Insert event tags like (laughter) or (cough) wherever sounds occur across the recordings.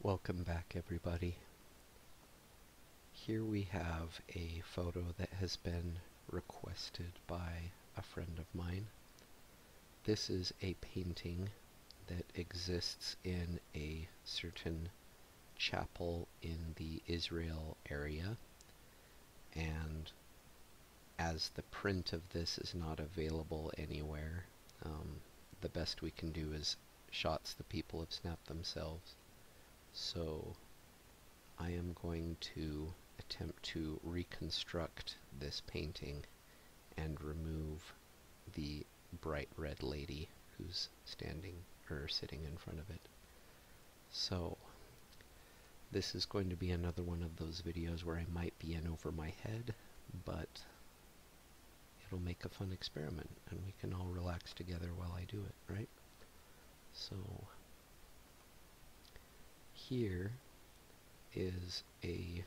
Welcome back everybody. Here we have a photo that has been requested by a friend of mine. This is a painting that exists in a certain chapel in the Israel area and as the print of this is not available anywhere, um, the best we can do is shots the people have snapped themselves. So I am going to attempt to reconstruct this painting and remove the bright red lady who's standing or sitting in front of it. So, this is going to be another one of those videos where I might be in over my head, but it'll make a fun experiment, and we can all relax together while I do it, right? So, here is a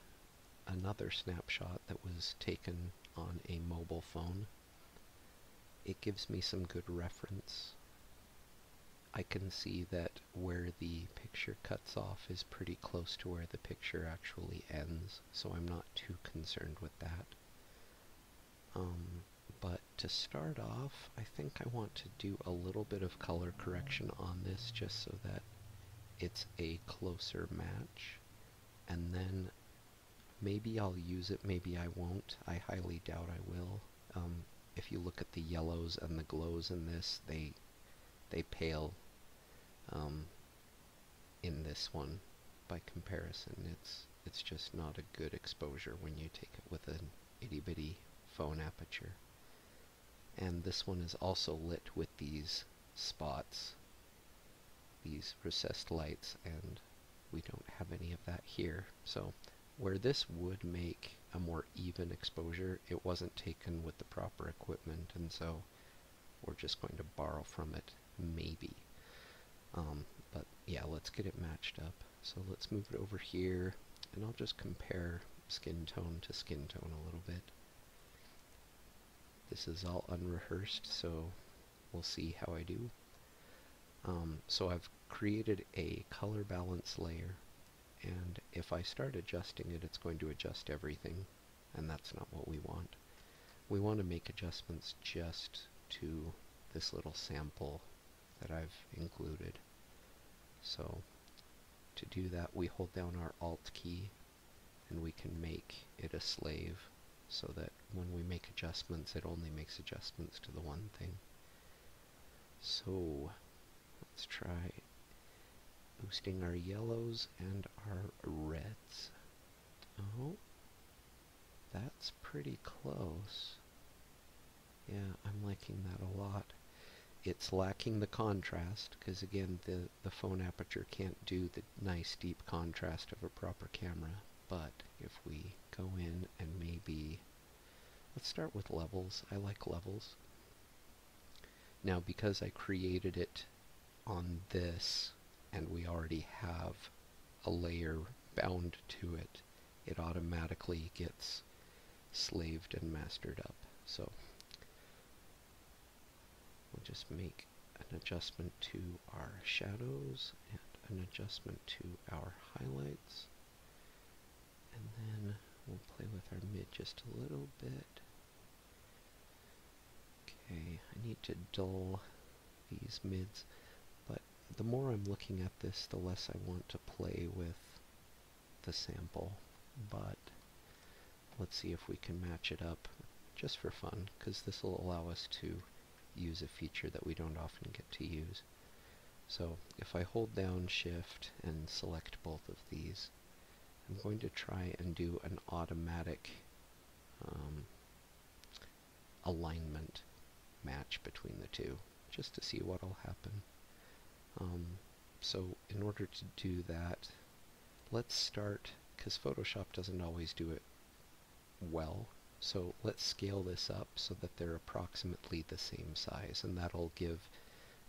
another snapshot that was taken on a mobile phone. It gives me some good reference I can see that where the picture cuts off is pretty close to where the picture actually ends, so I'm not too concerned with that. Um, but to start off, I think I want to do a little bit of color correction on this just so that it's a closer match. And then maybe I'll use it, maybe I won't. I highly doubt I will. Um, if you look at the yellows and the glows in this, they they pale um, in this one by comparison. It's it's just not a good exposure when you take it with an itty bitty phone aperture. And this one is also lit with these spots, these recessed lights, and we don't have any of that here. So where this would make a more even exposure, it wasn't taken with the proper equipment, and so we're just going to borrow from it, maybe. Um, but yeah, let's get it matched up. So let's move it over here, and I'll just compare skin tone to skin tone a little bit. This is all unrehearsed, so we'll see how I do. Um, so I've created a color balance layer and if I start adjusting it, it's going to adjust everything, and that's not what we want. We want to make adjustments just to this little sample that I've included. So to do that, we hold down our Alt key, and we can make it a slave so that when we make adjustments, it only makes adjustments to the one thing. So let's try boosting our yellows and our reds. Oh, that's pretty close. Yeah, I'm liking that a lot. It's lacking the contrast, because again, the, the phone aperture can't do the nice deep contrast of a proper camera. But if we go in and maybe... Let's start with levels. I like levels. Now because I created it on this and we already have a layer bound to it, it automatically gets slaved and mastered up. So we'll just make an adjustment to our shadows and an adjustment to our highlights and then we'll play with our mid just a little bit. Okay, I need to dull these mids, but the more I'm looking at this, the less I want to play with the sample. But let's see if we can match it up just for fun, because this will allow us to use a feature that we don't often get to use. So if I hold down shift and select both of these, I'm going to try and do an automatic um, alignment match between the two just to see what will happen. Um, so in order to do that, let's start, because Photoshop doesn't always do it well, so let's scale this up so that they're approximately the same size, and that'll give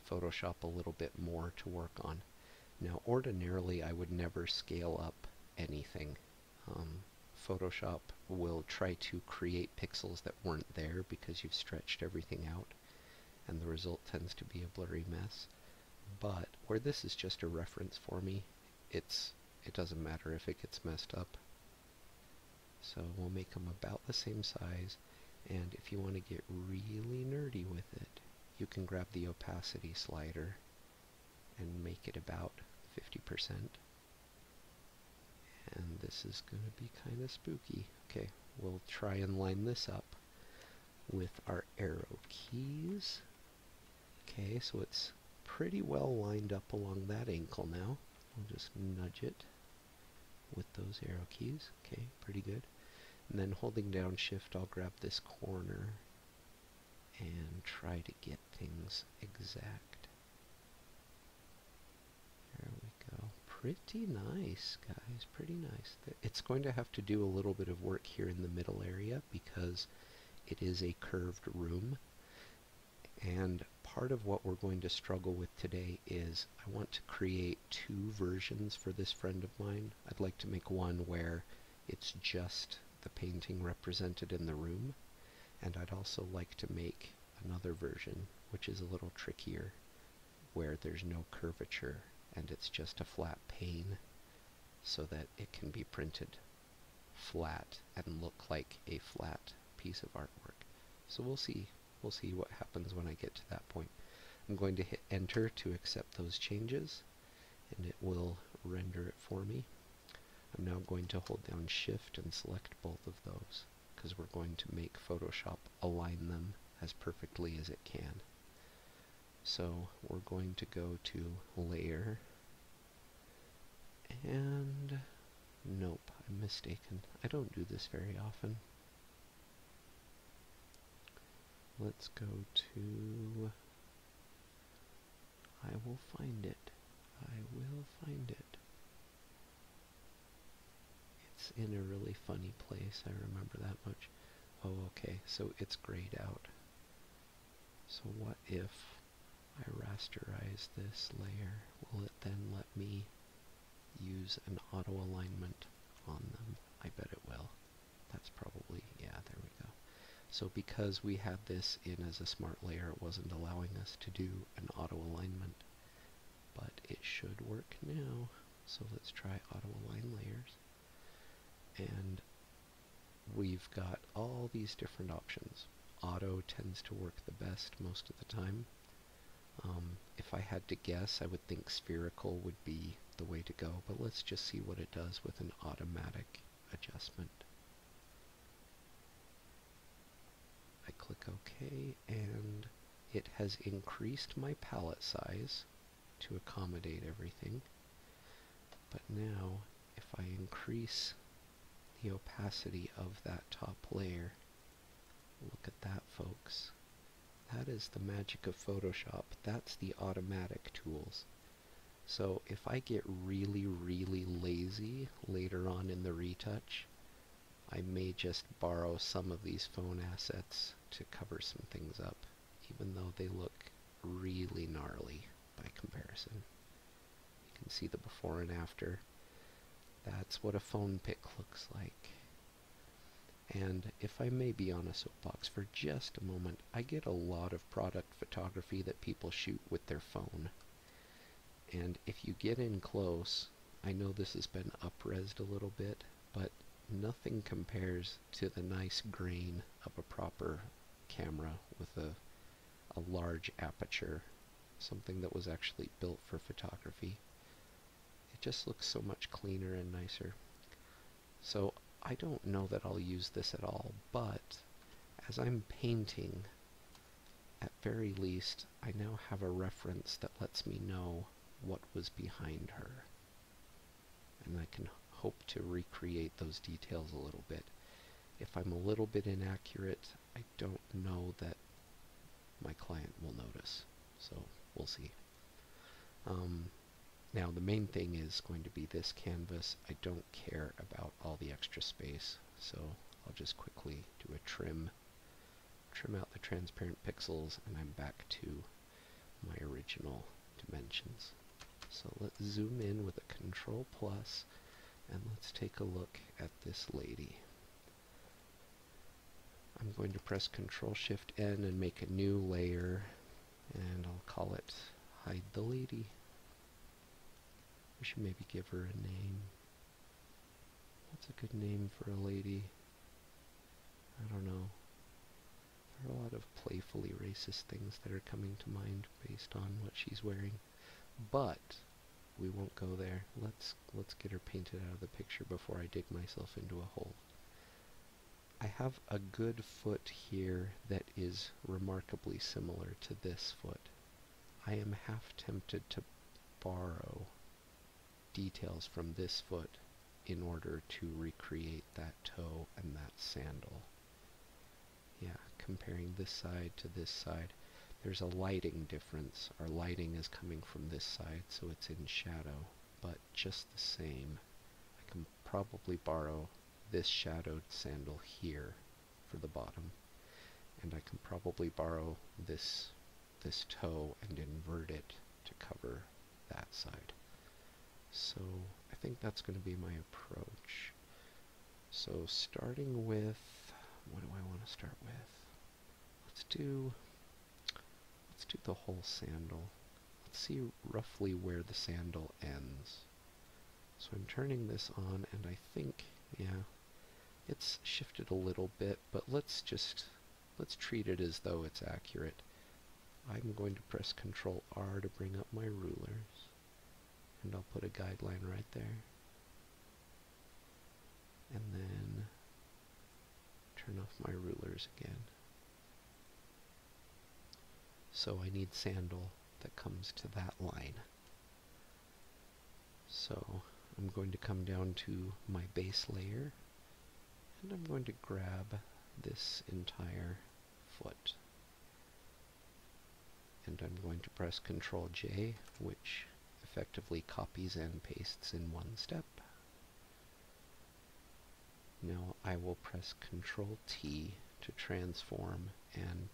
Photoshop a little bit more to work on. Now ordinarily I would never scale up anything. Um, Photoshop will try to create pixels that weren't there because you've stretched everything out and the result tends to be a blurry mess. But where this is just a reference for me, it's it doesn't matter if it gets messed up. So we'll make them about the same size and if you want to get really nerdy with it, you can grab the opacity slider and make it about 50%. And this is going to be kind of spooky. Okay, we'll try and line this up with our arrow keys. Okay, so it's pretty well lined up along that ankle now. We'll just nudge it with those arrow keys. Okay, pretty good. And then holding down shift, I'll grab this corner and try to get things exact. There we go. Pretty nice, guys. Pretty nice. It's going to have to do a little bit of work here in the middle area because it is a curved room. And part of what we're going to struggle with today is I want to create two versions for this friend of mine. I'd like to make one where it's just the painting represented in the room, and I'd also like to make another version, which is a little trickier, where there's no curvature and it's just a flat pane so that it can be printed flat and look like a flat piece of artwork. So we'll see We'll see what happens when I get to that point. I'm going to hit enter to accept those changes and it will render it for me. I'm now going to hold down shift and select both of those because we're going to make Photoshop align them as perfectly as it can. So we're going to go to layer and nope, I'm mistaken. I don't do this very often. Let's go to. I will find it. I will find it. It's in a really funny place, I remember that much. Oh, okay, so it's grayed out. So what if I rasterize this layer? Will it then let me use an auto alignment on them? I bet it will. That's probably, yeah, there we go. So because we had this in as a smart layer, it wasn't allowing us to do an auto alignment, but it should work now. So let's try auto align layers. And we've got all these different options. Auto tends to work the best most of the time. Um, if I had to guess, I would think spherical would be the way to go, but let's just see what it does with an automatic adjustment. I click OK, and it has increased my palette size to accommodate everything. But now, if I increase the opacity of that top layer, look at that, folks. That is the magic of Photoshop. That's the automatic tools. So if I get really, really lazy later on in the retouch, I may just borrow some of these phone assets to cover some things up, even though they look really gnarly by comparison. You can see the before and after. That's what a phone pick looks like. And if I may be on a soapbox for just a moment, I get a lot of product photography that people shoot with their phone. And if you get in close, I know this has been upresed a little bit, but nothing compares to the nice grain of a proper camera with a, a large aperture, something that was actually built for photography it just looks so much cleaner and nicer. So I don't know that I'll use this at all, but as I'm painting, at very least, I now have a reference that lets me know what was behind her. And I can hope to recreate those details a little bit. If I'm a little bit inaccurate, I don't know that my client will notice. So we'll see. Um, now the main thing is going to be this canvas. I don't care about all the extra space, so I'll just quickly do a trim, trim out the transparent pixels, and I'm back to my original dimensions. So let's zoom in with a control plus, and let's take a look at this lady. I'm going to press Control Shift N and make a new layer and I'll call it Hide the Lady. We should maybe give her a name. What's a good name for a lady? I don't know. There are a lot of playfully racist things that are coming to mind based on what she's wearing. But we won't go there. Let's let's get her painted out of the picture before I dig myself into a hole. I have a good foot here that is remarkably similar to this foot. I am half tempted to borrow details from this foot in order to recreate that toe and that sandal. Yeah, comparing this side to this side, there's a lighting difference. Our lighting is coming from this side, so it's in shadow, but just the same, I can probably borrow this shadowed sandal here for the bottom, and I can probably borrow this, this toe and invert it to cover that side. So I think that's going to be my approach. So starting with, what do I want to start with? Let's do Let's do the whole sandal. Let's see roughly where the sandal ends. So I'm turning this on, and I think, yeah, it's shifted a little bit, but let's just, let's treat it as though it's accurate. I'm going to press Ctrl R to bring up my rulers, and I'll put a guideline right there. And then turn off my rulers again. So I need sandal that comes to that line. So I'm going to come down to my base layer and I'm going to grab this entire foot. And I'm going to press Ctrl J, which effectively copies and pastes in one step. Now I will press Ctrl T to transform and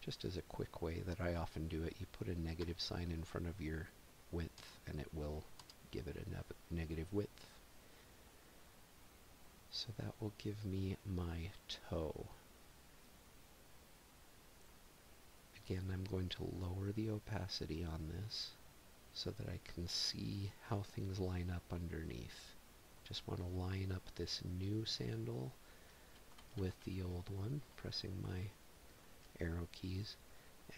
just as a quick way that I often do it, you put a negative sign in front of your width and it will give it a negative width. So that will give me my toe. Again, I'm going to lower the opacity on this so that I can see how things line up underneath. Just want to line up this new sandal with the old one, pressing my arrow keys.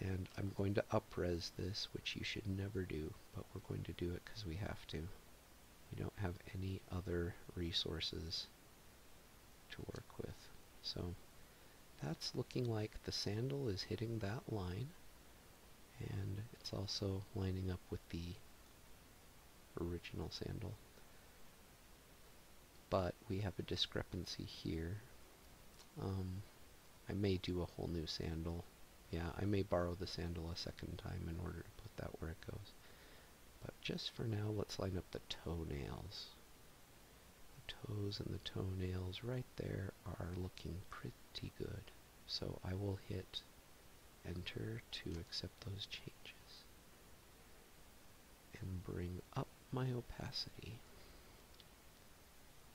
And I'm going to upres this, which you should never do, but we're going to do it because we have to. We don't have any other resources to work with. So that's looking like the sandal is hitting that line and it's also lining up with the original sandal. But we have a discrepancy here. Um, I may do a whole new sandal. Yeah, I may borrow the sandal a second time in order to put that where it goes. But just for now, let's line up the toenails. The toes and the toenails right there are looking pretty good. So I will hit enter to accept those changes and bring up my opacity.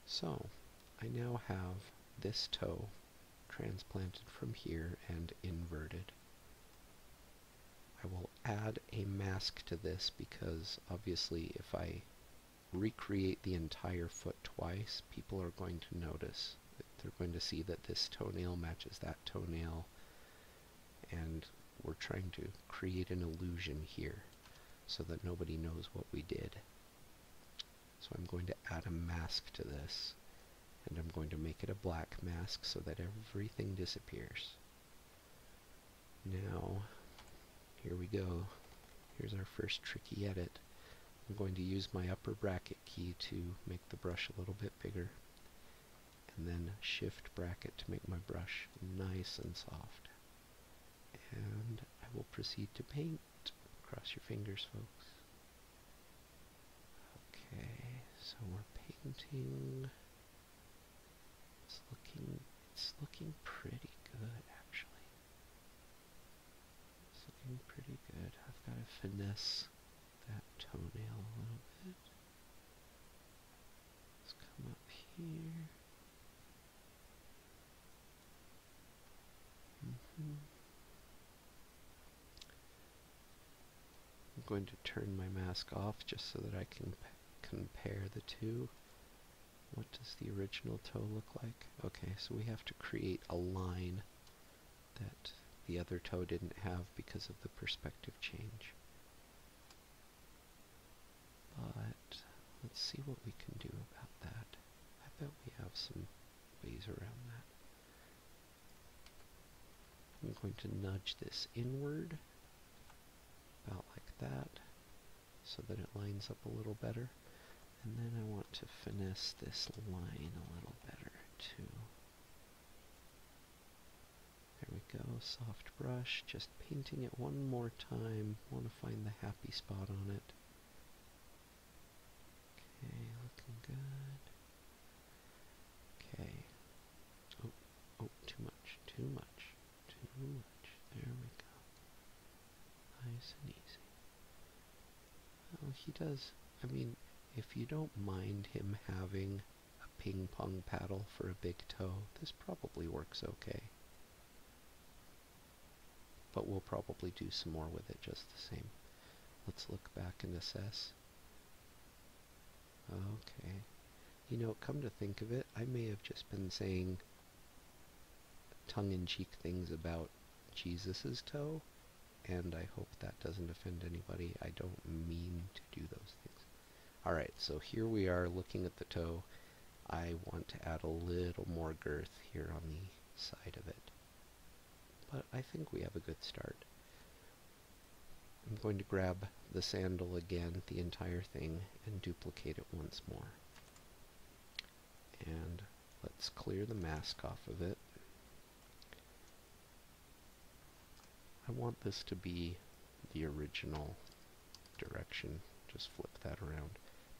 So I now have this toe transplanted from here and inverted. I will add a mask to this because obviously if I recreate the entire foot twice, people are going to notice they're going to see that this toenail matches that toenail and we're trying to create an illusion here so that nobody knows what we did. So I'm going to add a mask to this and I'm going to make it a black mask so that everything disappears. Now, here we go. Here's our first tricky edit. I'm going to use my upper bracket key to make the brush a little bit bigger and then shift bracket to make my brush nice and soft. And I will proceed to paint. Cross your fingers, folks. Okay, so we're painting. It's looking, it's looking pretty good, actually. It's looking pretty good. I've got to finesse that toenail a little bit. Let's come up here. Mm-hmm. I'm going to turn my mask off just so that I can compare the two. What does the original toe look like? Okay, so we have to create a line that the other toe didn't have because of the perspective change. But let's see what we can do about that. I bet we have some ways around that. I'm going to nudge this inward, about like that, so that it lines up a little better. And then I want to finesse this line a little better too. There we go, soft brush, just painting it one more time. Want to find the happy spot on it. Okay, looking good. Okay. Oh, oh, too much, too much, too much. There we go. Nice and easy he does. I mean, if you don't mind him having a ping pong paddle for a big toe, this probably works okay. But we'll probably do some more with it just the same. Let's look back and assess. Okay. You know, come to think of it, I may have just been saying tongue-in-cheek things about Jesus's toe, and I hope that doesn't offend anybody. I don't mean to do those things. Alright, so here we are looking at the toe. I want to add a little more girth here on the side of it. But I think we have a good start. I'm going to grab the sandal again, the entire thing, and duplicate it once more. And Let's clear the mask off of it. I want this to be the original direction. Just flip that around.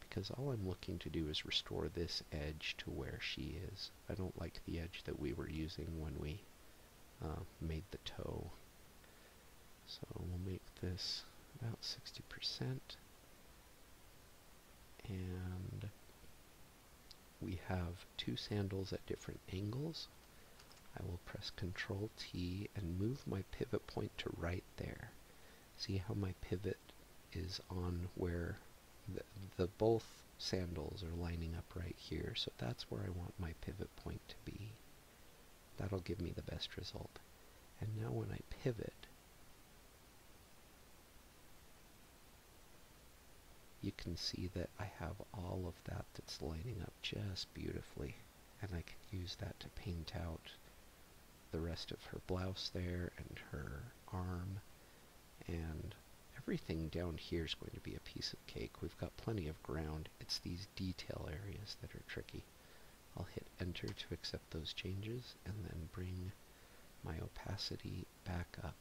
Because all I'm looking to do is restore this edge to where she is. I don't like the edge that we were using when we uh, made the toe. So we'll make this about 60%. And we have two sandals at different angles. I will press Ctrl T and move my pivot point to right there. See how my pivot is on where the, both sandals are lining up right here, so that's where I want my pivot point to be. That'll give me the best result. And now when I pivot, you can see that I have all of that that's lining up just beautifully and I can use that to paint out the rest of her blouse there and her arm and everything down here is going to be a piece of cake. We've got plenty of ground. It's these detail areas that are tricky. I'll hit enter to accept those changes and then bring my opacity back up.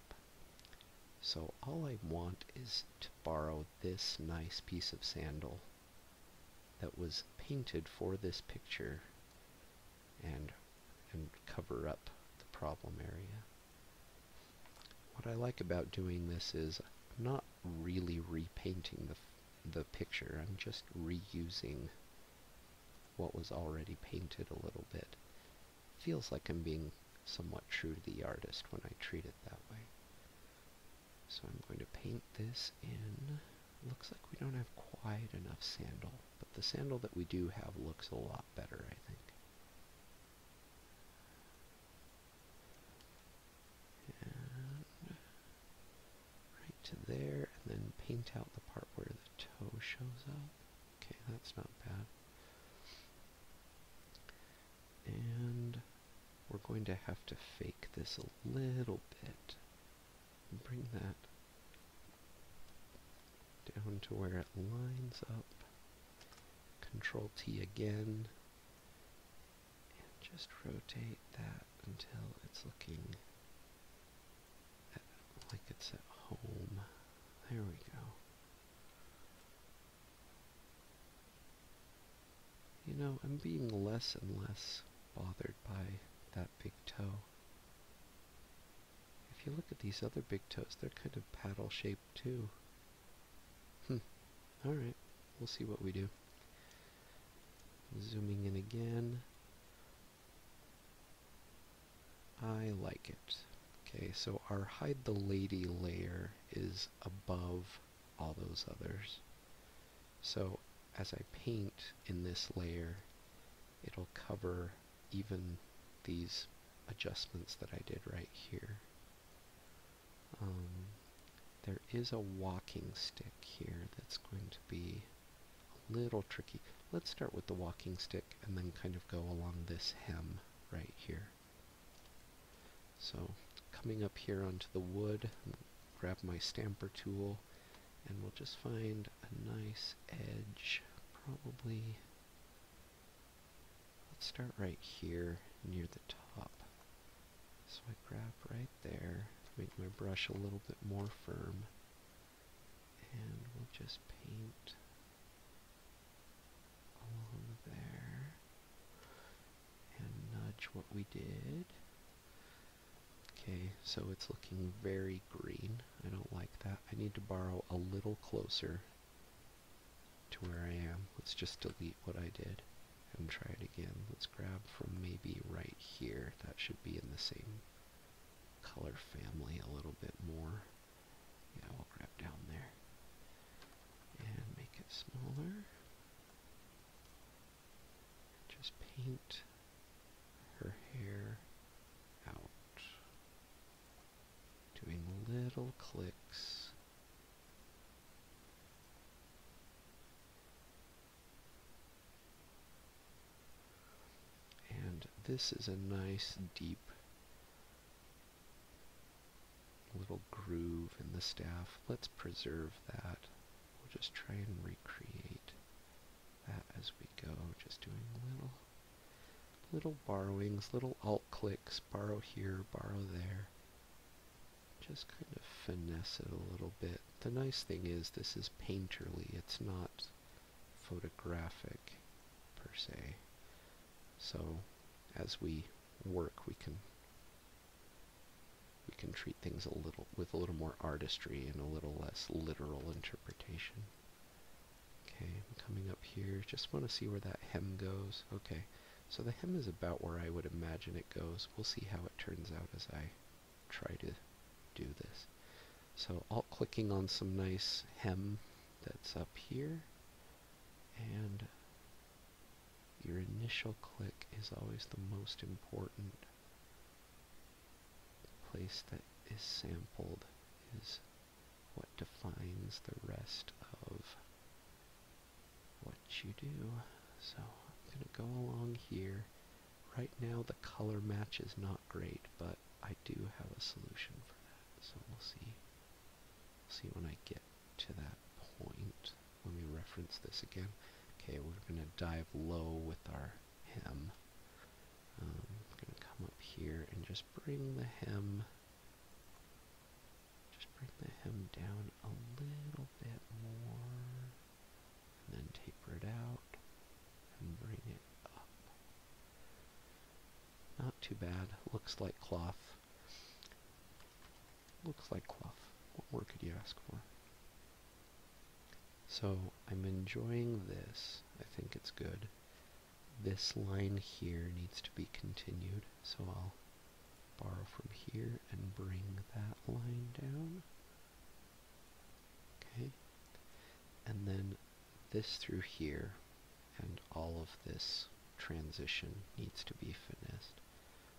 So all I want is to borrow this nice piece of sandal that was painted for this picture and, and cover up the problem area. What I like about doing this is I'm not really repainting the, the picture, I'm just reusing what was already painted a little bit feels like I'm being somewhat true to the artist when I treat it that way. So I'm going to paint this in. Looks like we don't have quite enough sandal, but the sandal that we do have looks a lot better, I think. And right to there, and then paint out the part where the toe shows up. Okay, that's not bad. And we're going to have to fake this a little bit. And bring that down to where it lines up. Control T again. And just rotate that until it's looking like it's at home. There we go. You know, I'm being less and less bothered by that big toe. If you look at these other big toes, they're kind of paddle-shaped too. Hmm. Alright, we'll see what we do. Zooming in again. I like it. Okay, so our hide the lady layer is above all those others. So as I paint in this layer, it'll cover even these adjustments that I did right here. Um, there is a walking stick here that's going to be a little tricky. Let's start with the walking stick and then kind of go along this hem right here. So coming up here onto the wood, grab my stamper tool, and we'll just find a nice edge, probably, let's start right here near the top. So I grab right there, make my brush a little bit more firm, and we'll just paint along there and nudge what we did. Okay, so it's looking very green. I don't like that. I need to borrow a little closer to where I am. Let's just delete what I did and try it again. Let's grab from maybe right here. That should be in the same color family a little bit more. Yeah, we'll grab down there and make it smaller. Just paint her hair out, doing little clicks. And this is a nice deep little groove in the staff. Let's preserve that. We'll just try and recreate that as we go, just doing little little borrowings, little alt clicks, borrow here, borrow there. Just kind of finesse it a little bit. The nice thing is this is painterly. It's not photographic per se. So as we work, we can we can treat things a little with a little more artistry and a little less literal interpretation. Okay, coming up here. Just want to see where that hem goes. Okay, so the hem is about where I would imagine it goes. We'll see how it turns out as I try to do this. So alt-clicking on some nice hem that's up here and your initial click is always the most important the place that is sampled is what defines the rest of what you do so I'm gonna go along here right now the color match is not great but I do have a solution for that, so we'll see. See when I get to that point. Let me reference this again. Okay, we're going to dive low with our hem. Um, I'm going to come up here and just bring the hem, just bring the hem down a little bit more, and then taper it out and bring it up. Not too bad. Looks like cloth. Looks like cloth. What more could you ask for? So I'm enjoying this. I think it's good. This line here needs to be continued, so I'll borrow from here and bring that line down. Okay. And then this through here, and all of this transition needs to be finished.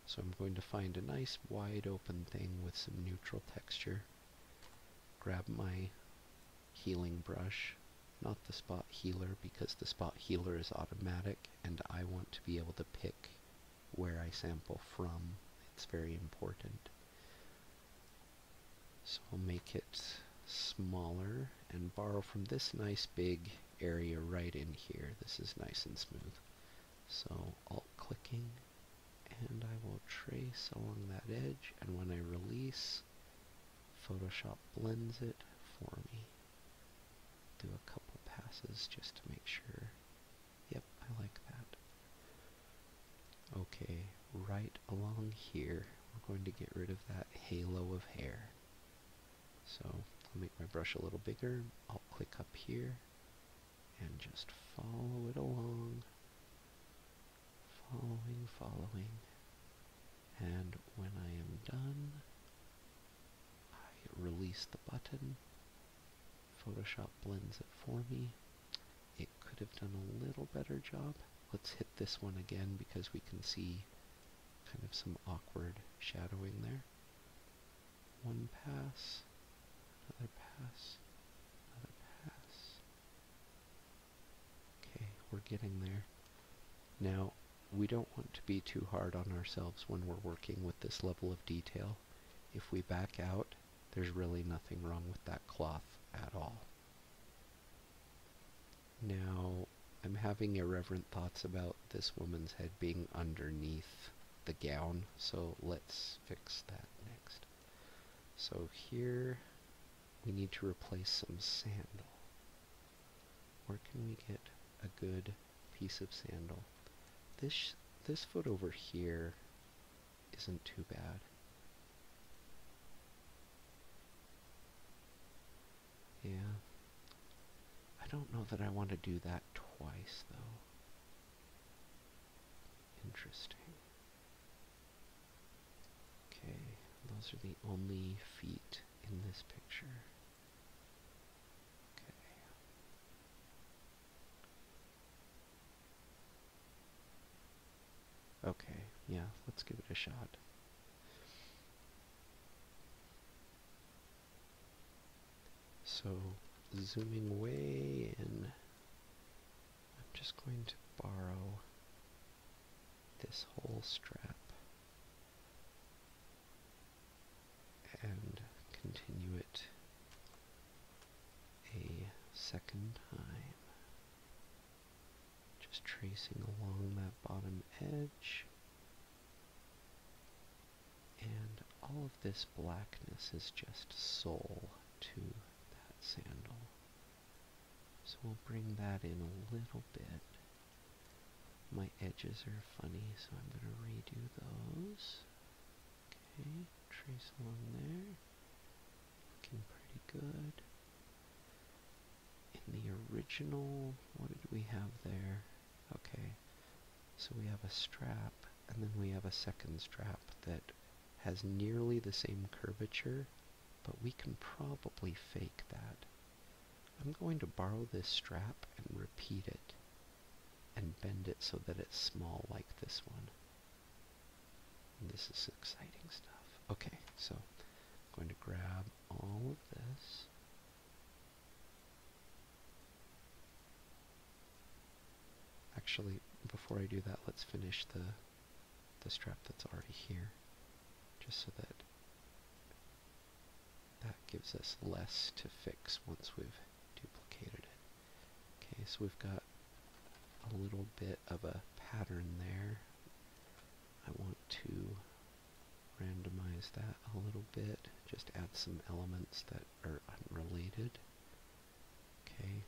So I'm going to find a nice wide open thing with some neutral texture, grab my healing brush, not the spot healer because the spot healer is automatic and I want to be able to pick where I sample from. It's very important. So I'll make it smaller and borrow from this nice big area right in here. This is nice and smooth. So alt clicking and I will trace along that edge and when I release Photoshop blends it for me. Do a couple passes just to make sure. Yep, I like that. Okay, right along here we're going to get rid of that halo of hair. So I'll make my brush a little bigger. I'll click up here and just follow it along. Following, following. And when I am done, I release the button. Photoshop blends it for me. It could have done a little better job. Let's hit this one again because we can see Kind of some awkward shadowing there. One pass, another pass, another pass. Okay, we're getting there. Now, we don't want to be too hard on ourselves when we're working with this level of detail. If we back out, there's really nothing wrong with that cloth at all. Now, I'm having irreverent thoughts about this woman's head being underneath the gown, so let's fix that next. So here, we need to replace some sandal. Where can we get a good piece of sandal? This, this foot over here isn't too bad. Yeah. I don't know that I want to do that twice, though. Interesting. Okay, those are the only feet in this picture. Okay. Okay, yeah, let's give it a shot. So zooming way in, I'm just going to borrow this whole strap and continue it a second time. Just tracing along that bottom edge. And all of this blackness is just soul to that sandal. So we'll bring that in a little bit. My edges are funny, so I'm going to redo those. Okay, trace along there. Looking pretty good in the original, what did we have there? Okay, so we have a strap, and then we have a second strap that has nearly the same curvature, but we can probably fake that. I'm going to borrow this strap and repeat it, and bend it so that it's small like this one. this is exciting stuff. Okay, so I'm going to grab all of this, Actually, before I do that, let's finish the, the strap that's already here, just so that that gives us less to fix once we've duplicated it. Okay, so we've got a little bit of a pattern there. I want to randomize that a little bit, just add some elements that are unrelated. Okay.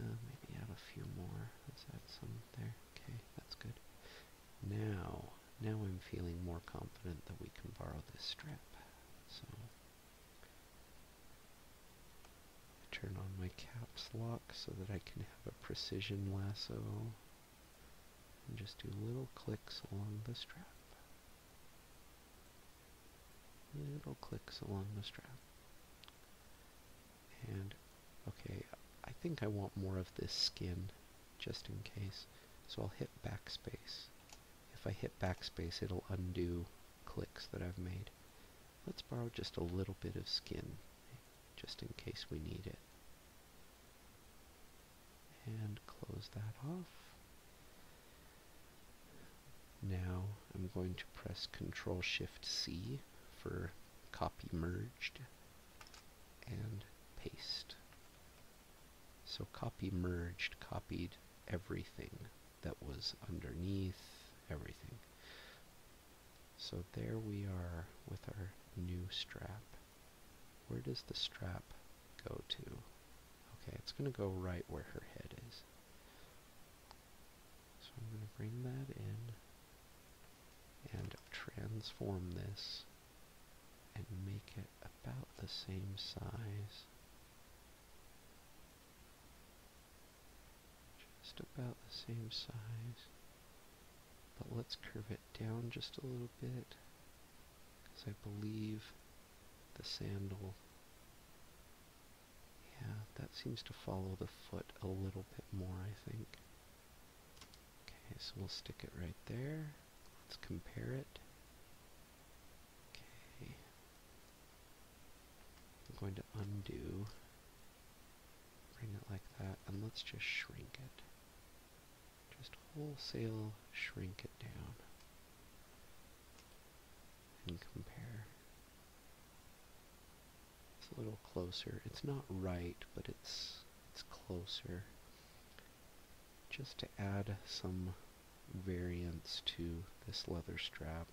Uh, maybe add a few more. Let's add some there. Okay, that's good. Now, now I'm feeling more confident that we can borrow this strip. So, I turn on my caps lock so that I can have a precision lasso just do little clicks along the strap. Little clicks along the strap. And, okay, I think I want more of this skin, just in case. So I'll hit backspace. If I hit backspace, it'll undo clicks that I've made. Let's borrow just a little bit of skin, just in case we need it and close that off. Now I'm going to press Control Shift C for copy merged and paste. So copy merged copied everything that was underneath everything. So there we are with our new strap. Where does the strap go to? Okay, it's going to go right where her head is. So I'm going to bring that in and transform this and make it about the same size. Just about the same size. But let's curve it down just a little bit, because I believe the sandal, yeah, that seems to follow the foot a little bit more, I think. Okay, so we'll stick it right there. Let's compare it. Okay. I'm going to undo, bring it like that, and let's just shrink it just wholesale shrink it down and compare. It's a little closer. It's not right, but it's it's closer. Just to add some variance to this leather strap.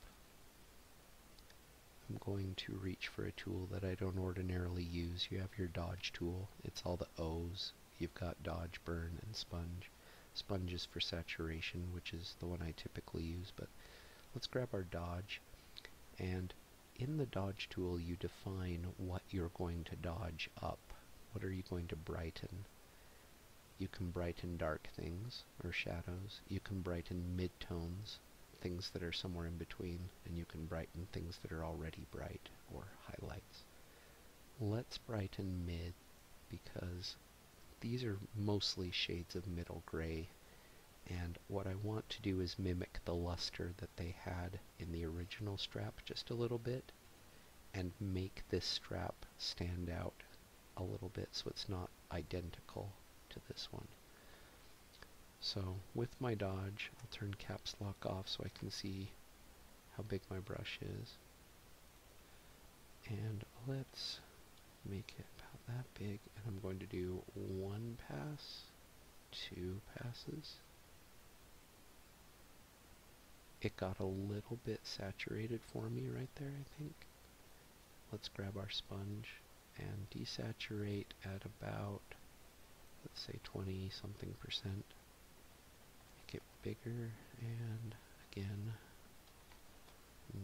I'm going to reach for a tool that I don't ordinarily use. You have your dodge tool. It's all the O's, you've got dodge, burn, and sponge. Sponge is for saturation, which is the one I typically use, but let's grab our dodge. And in the dodge tool, you define what you're going to dodge up. What are you going to brighten? You can brighten dark things, or shadows. You can brighten midtones, things that are somewhere in between, and you can brighten things that are already bright or highlights. Let's brighten mid because these are mostly shades of middle gray and what I want to do is mimic the luster that they had in the original strap just a little bit and make this strap stand out a little bit so it's not identical to this one. So with my dodge, I'll turn caps lock off so I can see how big my brush is. And let's make it about that big. And I'm going to do one pass, two passes. It got a little bit saturated for me right there, I think. Let's grab our sponge and desaturate at about, let's say 20 something percent. Make it bigger, and again,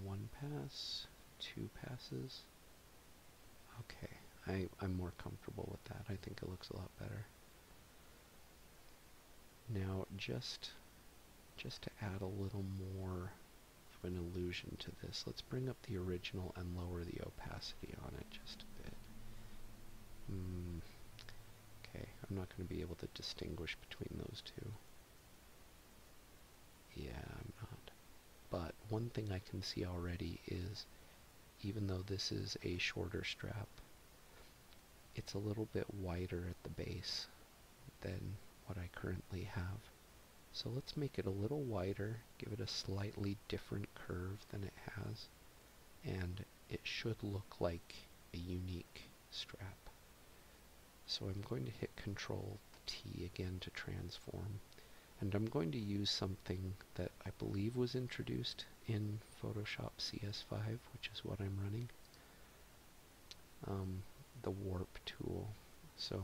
one pass, two passes. Okay, I, I'm more comfortable with that. I think it looks a lot better. Now, just, just to add a little more of an illusion to this, let's bring up the original and lower the opacity on it just a bit. Hmm. Okay, I'm not going to be able to distinguish between those two. Yeah, I'm not. But one thing I can see already is, even though this is a shorter strap, it's a little bit wider at the base than what I currently have. So let's make it a little wider, give it a slightly different curve than it has, and it should look like a unique strap. So I'm going to hit Control T again to transform, and I'm going to use something that I believe was introduced in Photoshop CS5, which is what I'm running, um, the Warp tool. So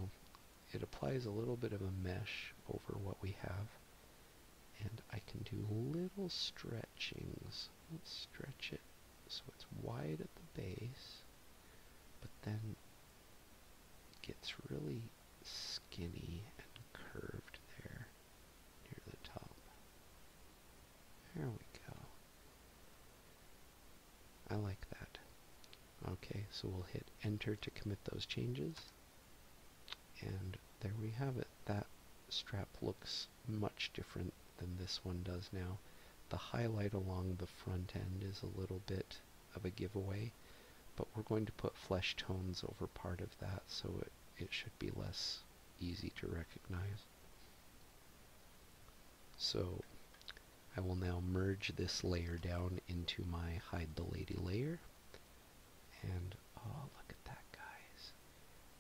it applies a little bit of a mesh over what we have, and I can do little stretchings. Let's stretch it so it's wide at the base, but then it gets really skinny and curved there near the top. There we go. I like that. Okay, so we'll hit enter to commit those changes. And there we have it. That strap looks much different than this one does now. The highlight along the front end is a little bit of a giveaway, but we're going to put flesh tones over part of that so it, it should be less easy to recognize. So I will now merge this layer down into my hide the lady layer and oh, look at that, guys.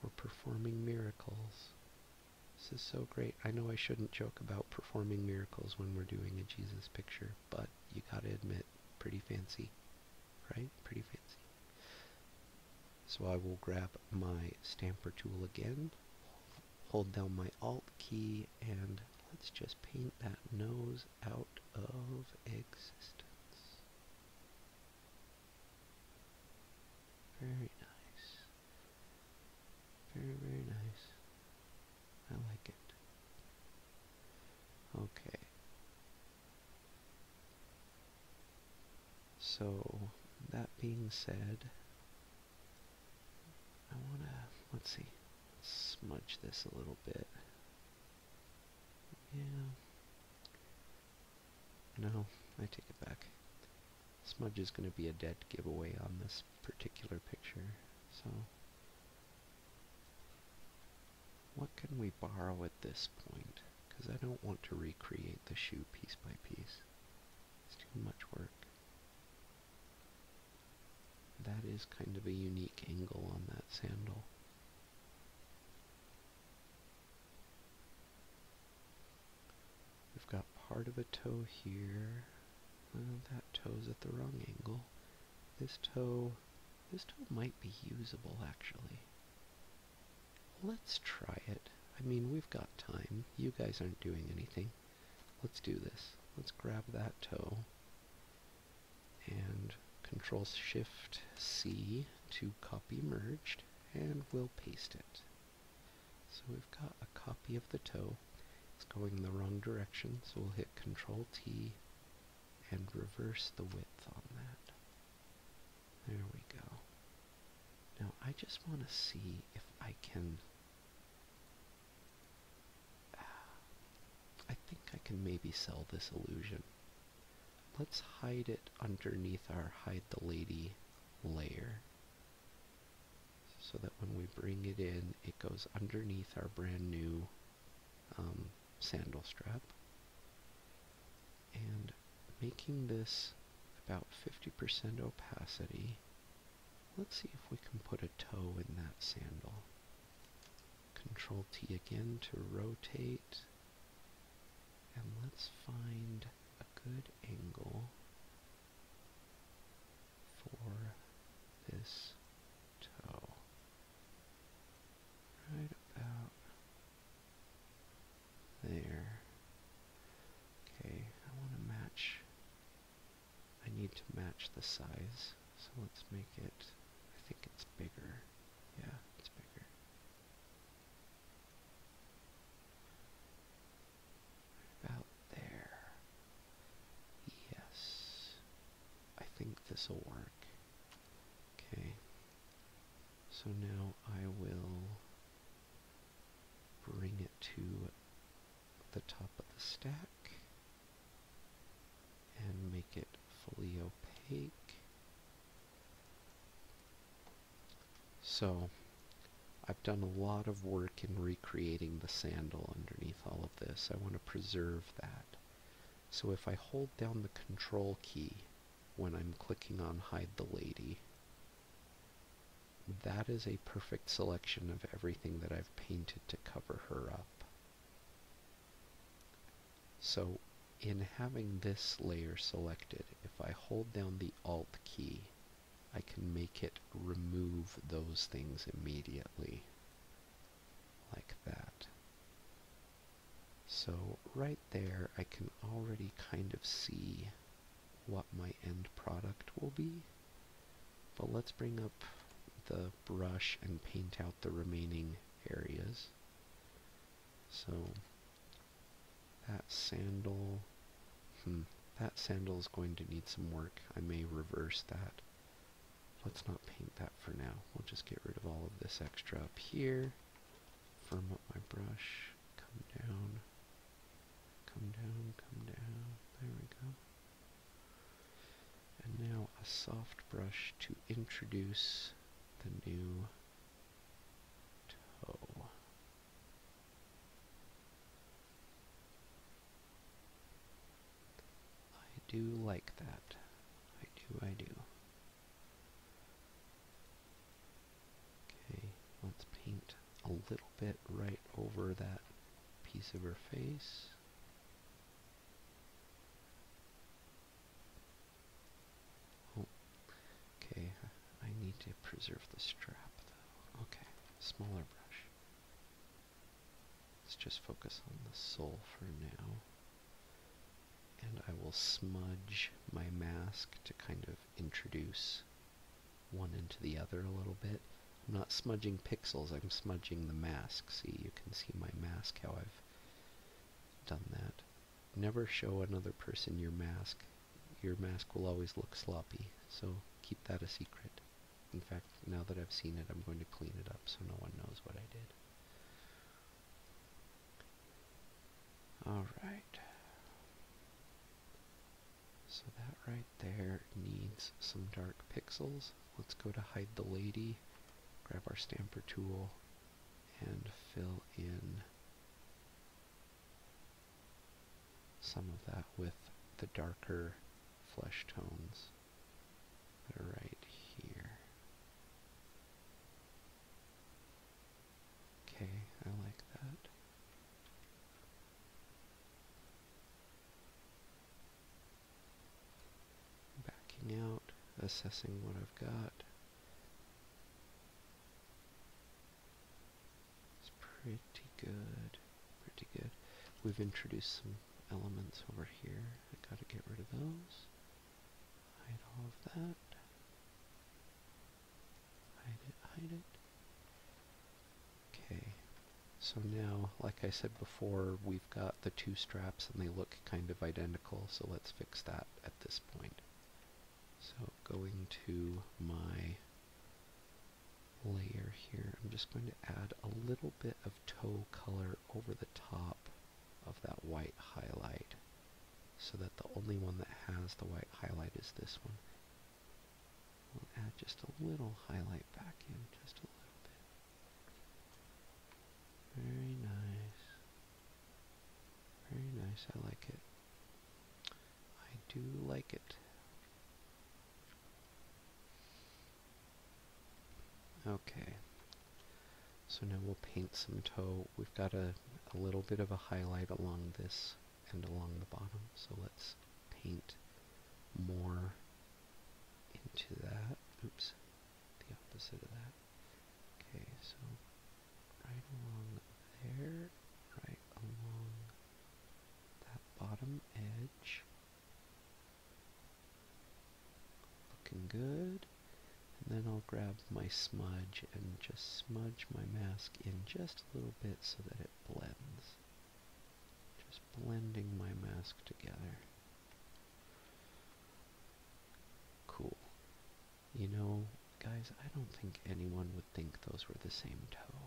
We're performing miracles. This is so great. I know I shouldn't joke about performing miracles when we're doing a Jesus picture, but you gotta admit, pretty fancy. Right? Pretty fancy. So I will grab my stamper tool again, hold down my Alt key, and let's just paint that nose out of existence. Very nice. Very, very nice. I like it. Okay. So, that being said, I want to, let's see, smudge this a little bit. Yeah. No, I take it back. Smudge is going to be a dead giveaway on this particular picture, so... What can we borrow at this point? Because I don't want to recreate the shoe piece by piece. too much work. That is kind of a unique angle on that sandal. We've got part of a toe here. that toe's at the wrong angle. This toe, this toe might be usable actually. Let's try it. I mean, we've got time. You guys aren't doing anything. Let's do this. Let's grab that toe and Control Shift C to copy merged and we'll paste it. So we've got a copy of the toe. It's going the wrong direction, so we'll hit Control T and reverse the width on that. There we go. Now I just want to see if I can... Uh, I think I can maybe sell this illusion let's hide it underneath our hide the lady layer so that when we bring it in it goes underneath our brand new um, sandal strap and making this about 50% opacity let's see if we can put a toe in that sandal control T again to rotate and let's find a good angle for this toe. Right about there. Okay, I want to match. I need to match the size, so let's make it. I think it's bigger. Yeah, it's bigger. About there. Yes. I think this will work. Okay. So now I will bring it to the top of the stack and make it fully opaque so I've done a lot of work in recreating the sandal underneath all of this. I want to preserve that. So if I hold down the control key when I'm clicking on hide the lady, that is a perfect selection of everything that I've painted to cover her up. So in having this layer selected, if I hold down the Alt key, I can make it remove those things immediately, like that. So right there, I can already kind of see what my end product will be. But let's bring up the brush and paint out the remaining areas. So that sandal. Hmm. That sandal is going to need some work. I may reverse that. Let's not paint that for now. We'll just get rid of all of this extra up here. Firm up my brush. Come down. Come down, come down. There we go. And now a soft brush to introduce the new toe. I do like that. I do, I do. Okay, let's paint a little bit right over that piece of her face. Oh, okay. I need to preserve the strap, though. Okay, smaller brush. Let's just focus on the sole for now. And I will smudge my mask to kind of introduce one into the other a little bit. I'm not smudging pixels, I'm smudging the mask. See, you can see my mask, how I've done that. Never show another person your mask your mask will always look sloppy, so keep that a secret. In fact, now that I've seen it, I'm going to clean it up so no one knows what I did. Alright. So that right there needs some dark pixels. Let's go to hide the lady, grab our stamper tool, and fill in some of that with the darker flesh tones that are right here. Okay, I like that. Backing out, assessing what I've got. It's pretty good, pretty good. We've introduced some elements over here. I gotta get rid of those. Hide all of that. Hide it, hide it. Okay. So now, like I said before, we've got the two straps and they look kind of identical, so let's fix that at this point. So going to my layer here, I'm just going to add a little bit of toe color over the top of that white highlight so that the only one that has the white highlight is this one. We'll add just a little highlight back in, just a little bit. Very nice. Very nice, I like it. I do like it. Okay, so now we'll paint some toe. We've got a, little bit of a highlight along this and along the bottom, so let's paint more into that. Oops, the opposite of that. Okay, so right along there, right along that bottom edge. Looking good. And then I'll grab my smudge and just smudge my mask in just a little bit so that it blends. Just blending my mask together. Cool. You know, guys, I don't think anyone would think those were the same toe.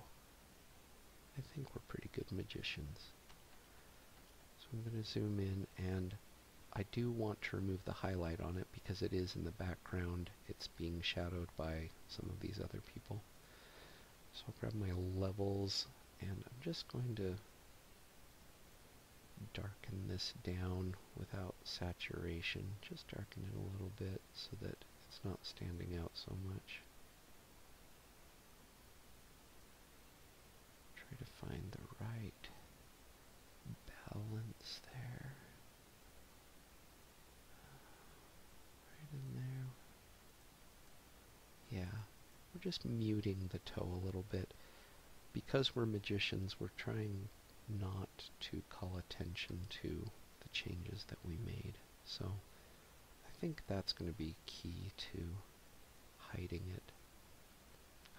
I think we're pretty good magicians. So I'm going to zoom in, and I do want to remove the highlight on it because it is in the background. It's being shadowed by some of these other people. So I'll grab my levels, and I'm just going to darken this down without saturation. Just darken it a little bit so that it's not standing out so much. Try to find the right balance there. Right in there. Yeah, we're just muting the toe a little bit. Because we're magicians, we're trying not to call attention to the changes that we made. So I think that's going to be key to hiding it.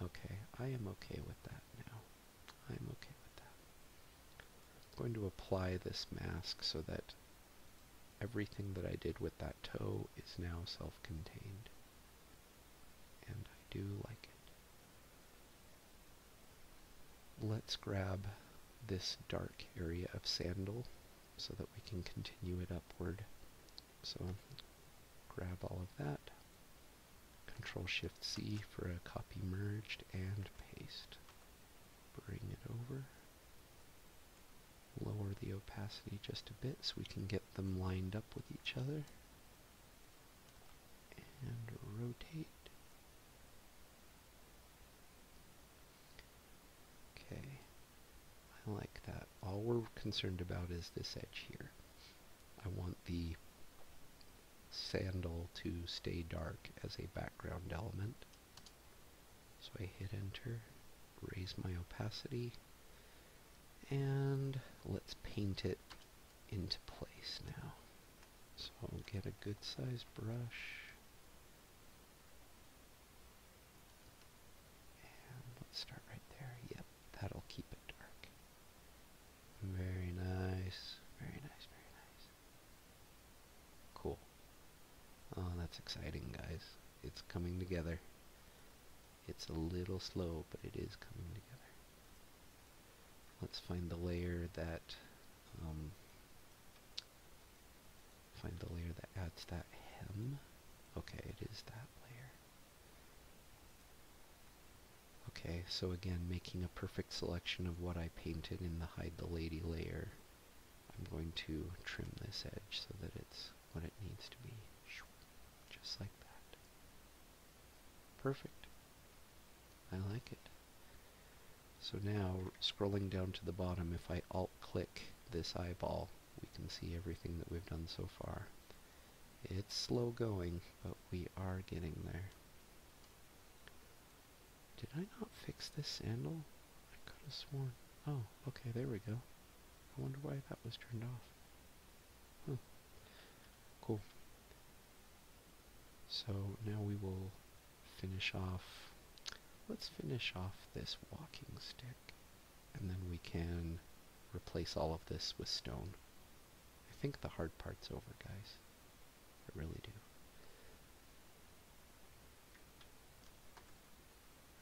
Okay, I am okay with that now. I am okay with that. I'm going to apply this mask so that everything that I did with that toe is now self-contained. And I do like it. Let's grab this dark area of sandal so that we can continue it upward. So grab all of that, Control Shift C for a copy merged and paste. Bring it over, lower the opacity just a bit so we can get them lined up with each other, and rotate Okay, I like that. All we're concerned about is this edge here. I want the sandal to stay dark as a background element. So I hit enter, raise my opacity, and let's paint it into place now. So I'll get a good size brush. And let's start right there. Yep, that'll keep it dark. Very nice. Very nice, very nice. Cool. Oh, that's exciting, guys. It's coming together. It's a little slow, but it is coming together. Let's find the layer that um, find the layer that adds that hem. Okay, it is that layer. Okay, so again, making a perfect selection of what I painted in the Hide the Lady layer. I'm going to trim this edge so that it's what it needs to be. Just like that. Perfect. I like it. So now, scrolling down to the bottom, if I alt-click this eyeball, we can see everything that we've done so far. It's slow going, but we are getting there. Did I not fix this handle? I could have sworn. Oh, okay, there we go. I wonder why that was turned off. Cool. So now we will finish off, let's finish off this walking stick, and then we can replace all of this with stone. I think the hard part's over, guys. I really do.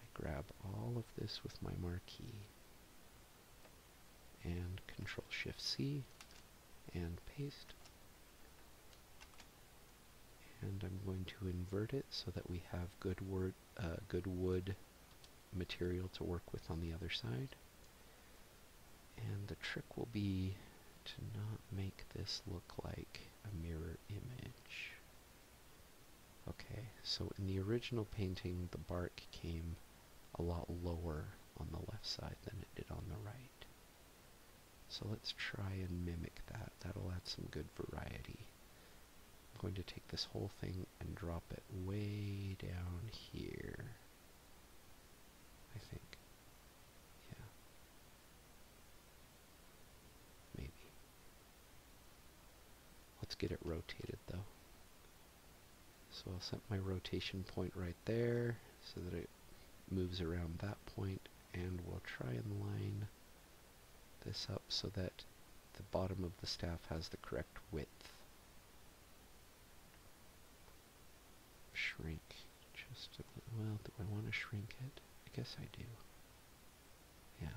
I grab all of this with my marquee, and Control-Shift-C, and paste. And I'm going to invert it so that we have uh, good, wood material to work with on the other side. And the trick will be to not make this look like a mirror image. Okay, so in the original painting, the bark came a lot lower on the left side than it did on the right. So let's try and mimic that. That'll add some good variety. I'm going to take this whole thing and drop it way down here. I think. Yeah. Maybe. Let's get it rotated though. So I'll set my rotation point right there so that it moves around that point and we'll try and line this up so that the bottom of the staff has the correct width. Shrink just a little. Well, do I want to shrink it? I guess I do. Yeah.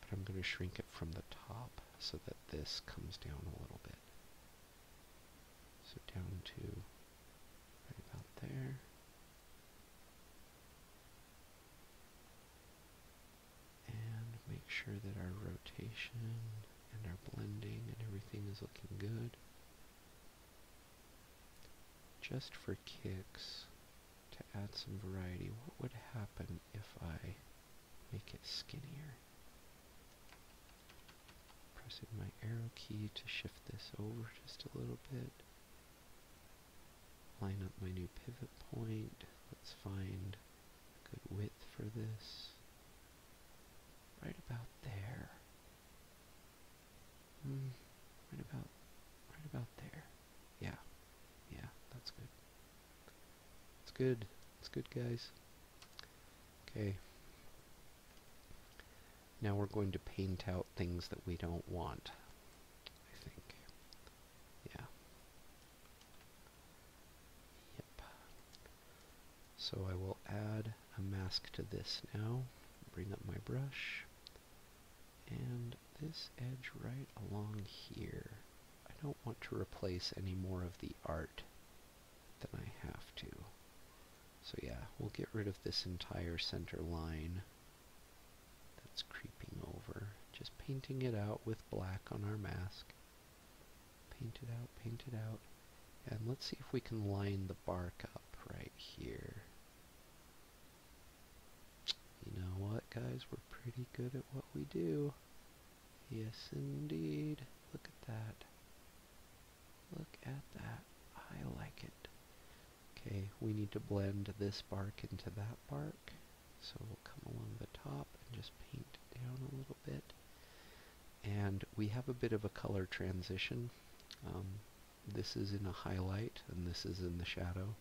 But I'm going to shrink it from the top so that this comes down a little bit. So down to right about there. And make sure that our rotation and our blending and everything is looking good. Just for kicks, to add some variety, what would happen if I make it skinnier? Pressing my arrow key to shift this over just a little bit. Line up my new pivot point. Let's find a good width for this. Right about there. Hmm, right about, right about there. Yeah, yeah, that's good. It's good. It's good, guys. Okay. Now we're going to paint out things that we don't want, I think. Yeah. Yep. So I will add a mask to this now. Bring up my brush. And this edge right along here. I don't want to replace any more of the art than I have to. So yeah, we'll get rid of this entire center line that's creeping over. Just painting it out with black on our mask. Paint it out, paint it out. And let's see if we can line the bark up right here. You know what, guys? We're pretty good at what we do. Yes, indeed. Look at that. Look at that. I like it. Okay, we need to blend this bark into that bark. So we'll come along the top and just paint down a little bit. And we have a bit of a color transition. Um, this is in a highlight and this is in the shadow.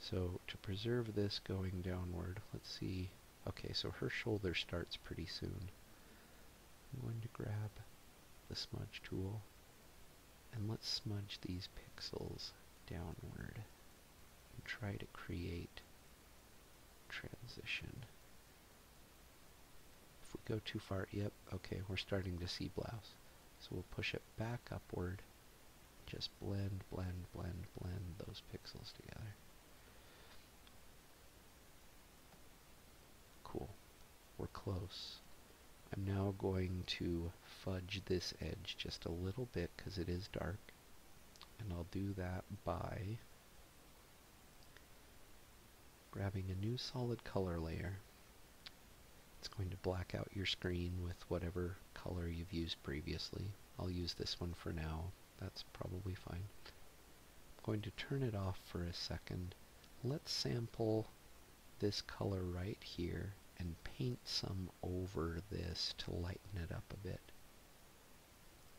So to preserve this going downward, let's see. Okay, so her shoulder starts pretty soon. I'm going to grab the smudge tool and let's smudge these pixels downward and try to create transition. If we go too far, yep, okay, we're starting to see blouse. So we'll push it back upward, just blend, blend, blend, blend those pixels together. Cool. We're close. I'm now going to fudge this edge just a little bit because it is dark. And I'll do that by grabbing a new solid color layer. It's going to black out your screen with whatever color you've used previously. I'll use this one for now. That's probably fine. I'm going to turn it off for a second. Let's sample this color right here and paint some over this to lighten it up a bit.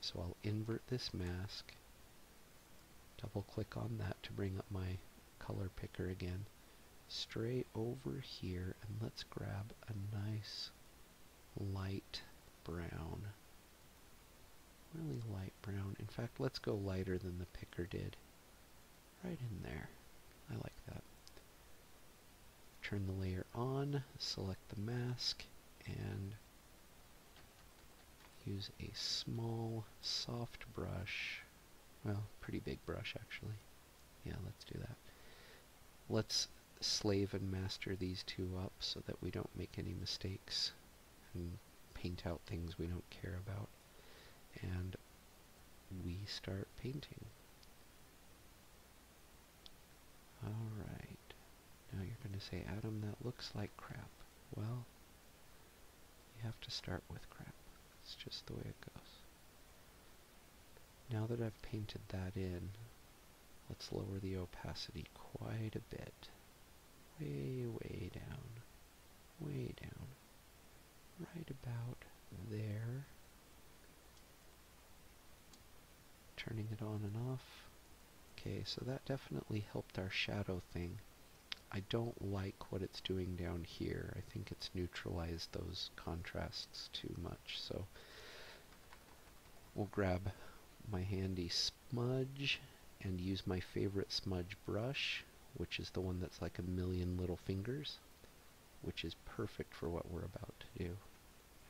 So I'll invert this mask, double click on that to bring up my color picker again, stray over here and let's grab a nice light brown, really light brown. In fact, let's go lighter than the picker did right in there. I like that. Turn the layer on, select the mask, and use a small, soft brush. Well, pretty big brush, actually. Yeah, let's do that. Let's slave and master these two up so that we don't make any mistakes and paint out things we don't care about and we start painting. Alright, now you're going to say, Adam, that looks like crap. Well, you have to start with crap. It's just the way it goes. Now that I've painted that in, let's lower the opacity quite a bit. Way, way down way down, right about there. Turning it on and off. Okay, so that definitely helped our shadow thing. I don't like what it's doing down here. I think it's neutralized those contrasts too much, so we'll grab my handy smudge and use my favorite smudge brush which is the one that's like a million little fingers, which is perfect for what we're about to do.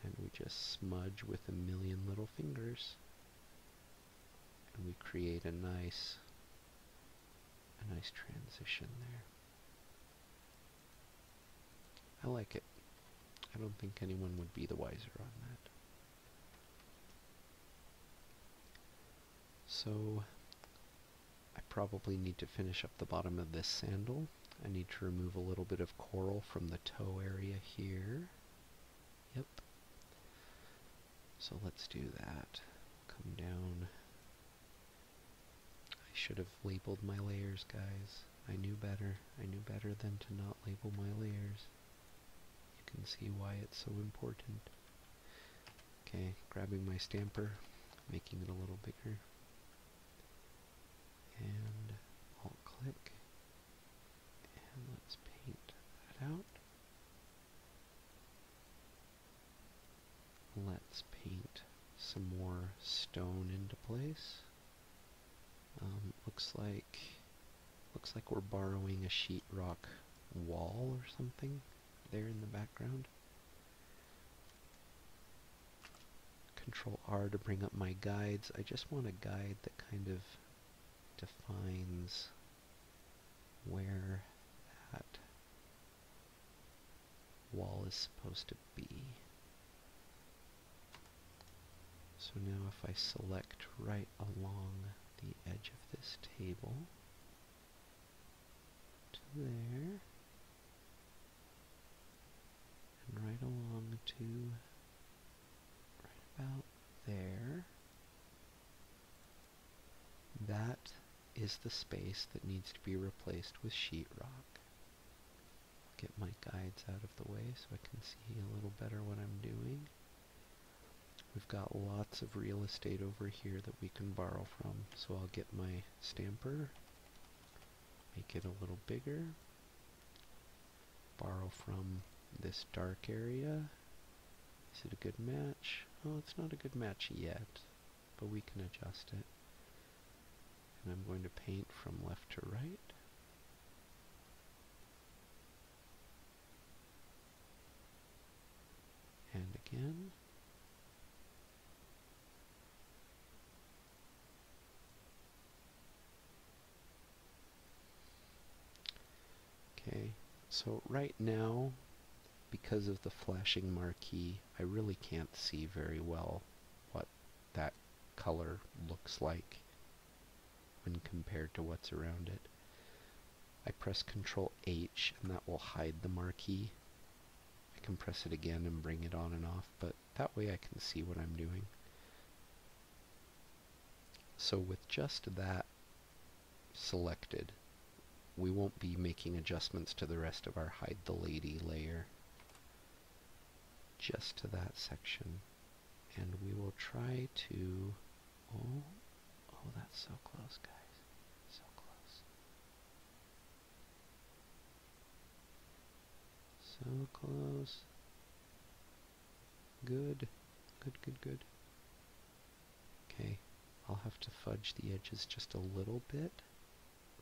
And we just smudge with a million little fingers, and we create a nice, a nice transition there. I like it. I don't think anyone would be the wiser on that. So I probably need to finish up the bottom of this sandal. I need to remove a little bit of coral from the toe area here. Yep. So let's do that. Come down. I should have labeled my layers, guys. I knew better. I knew better than to not label my layers. You can see why it's so important. Okay, grabbing my stamper, making it a little bigger, and alt click, and let's paint that out. Let's paint some more stone into place. Um, looks like looks like we're borrowing a sheetrock wall or something there in the background. Control R to bring up my guides. I just want a guide that kind of defines where that wall is supposed to be. So now if I select right along the edge of this table, to there, and right along to right about there. That is the space that needs to be replaced with sheet rock. Get my guides out of the way so I can see a little better what I'm doing. We've got lots of real estate over here that we can borrow from. So I'll get my stamper, make it a little bigger, borrow from this dark area. Is it a good match? Oh, it's not a good match yet, but we can adjust it. And I'm going to paint from left to right. And again. Okay, so right now, because of the flashing marquee, I really can't see very well what that color looks like when compared to what's around it. I press Ctrl H and that will hide the marquee. I can press it again and bring it on and off, but that way I can see what I'm doing. So with just that selected, we won't be making adjustments to the rest of our hide the lady layer. Just to that section. And we will try to... Oh, oh that's so close, guys. So close. So close. Good. Good, good, good. Okay. I'll have to fudge the edges just a little bit,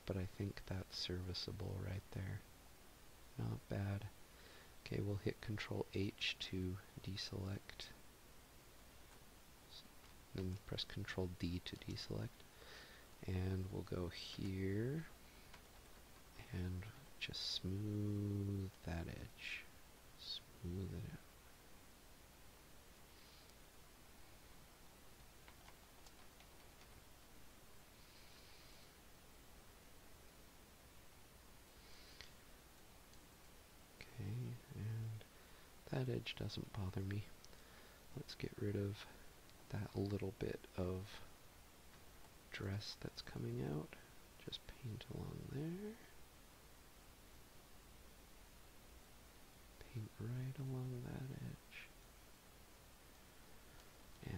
but I think that's serviceable right there. Not bad. Okay, we'll hit Control H to deselect then press Control D to deselect. And we'll go here and just smooth that edge. Smooth it out. Okay, that edge doesn't bother me. Let's get rid of that little bit of dress that's coming out. Just paint along there. Paint right along that edge.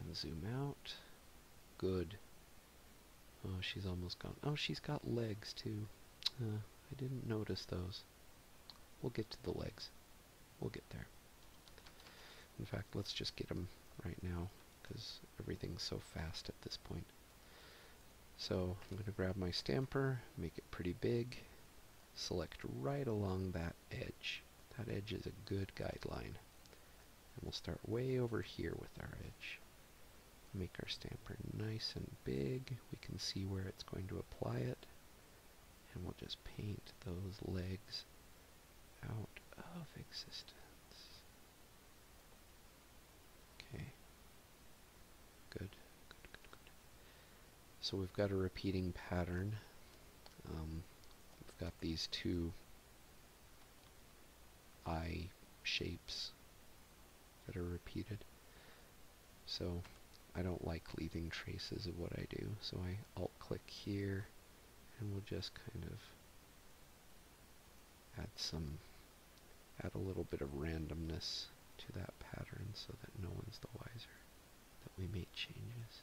And zoom out. Good. Oh, she's almost gone. Oh, she's got legs too. Uh, I didn't notice those. We'll get to the legs. We'll get there. In fact, let's just get them right now because everything's so fast at this point. So I'm going to grab my stamper, make it pretty big, select right along that edge. That edge is a good guideline. And we'll start way over here with our edge. Make our stamper nice and big. We can see where it's going to apply it and we'll just paint those legs out of existence. Okay. Good. So we've got a repeating pattern. Um, we've got these two I shapes that are repeated. So I don't like leaving traces of what I do. So I alt click here and we'll just kind of add some, add a little bit of randomness to that pattern so that no one's the wiser that we made changes.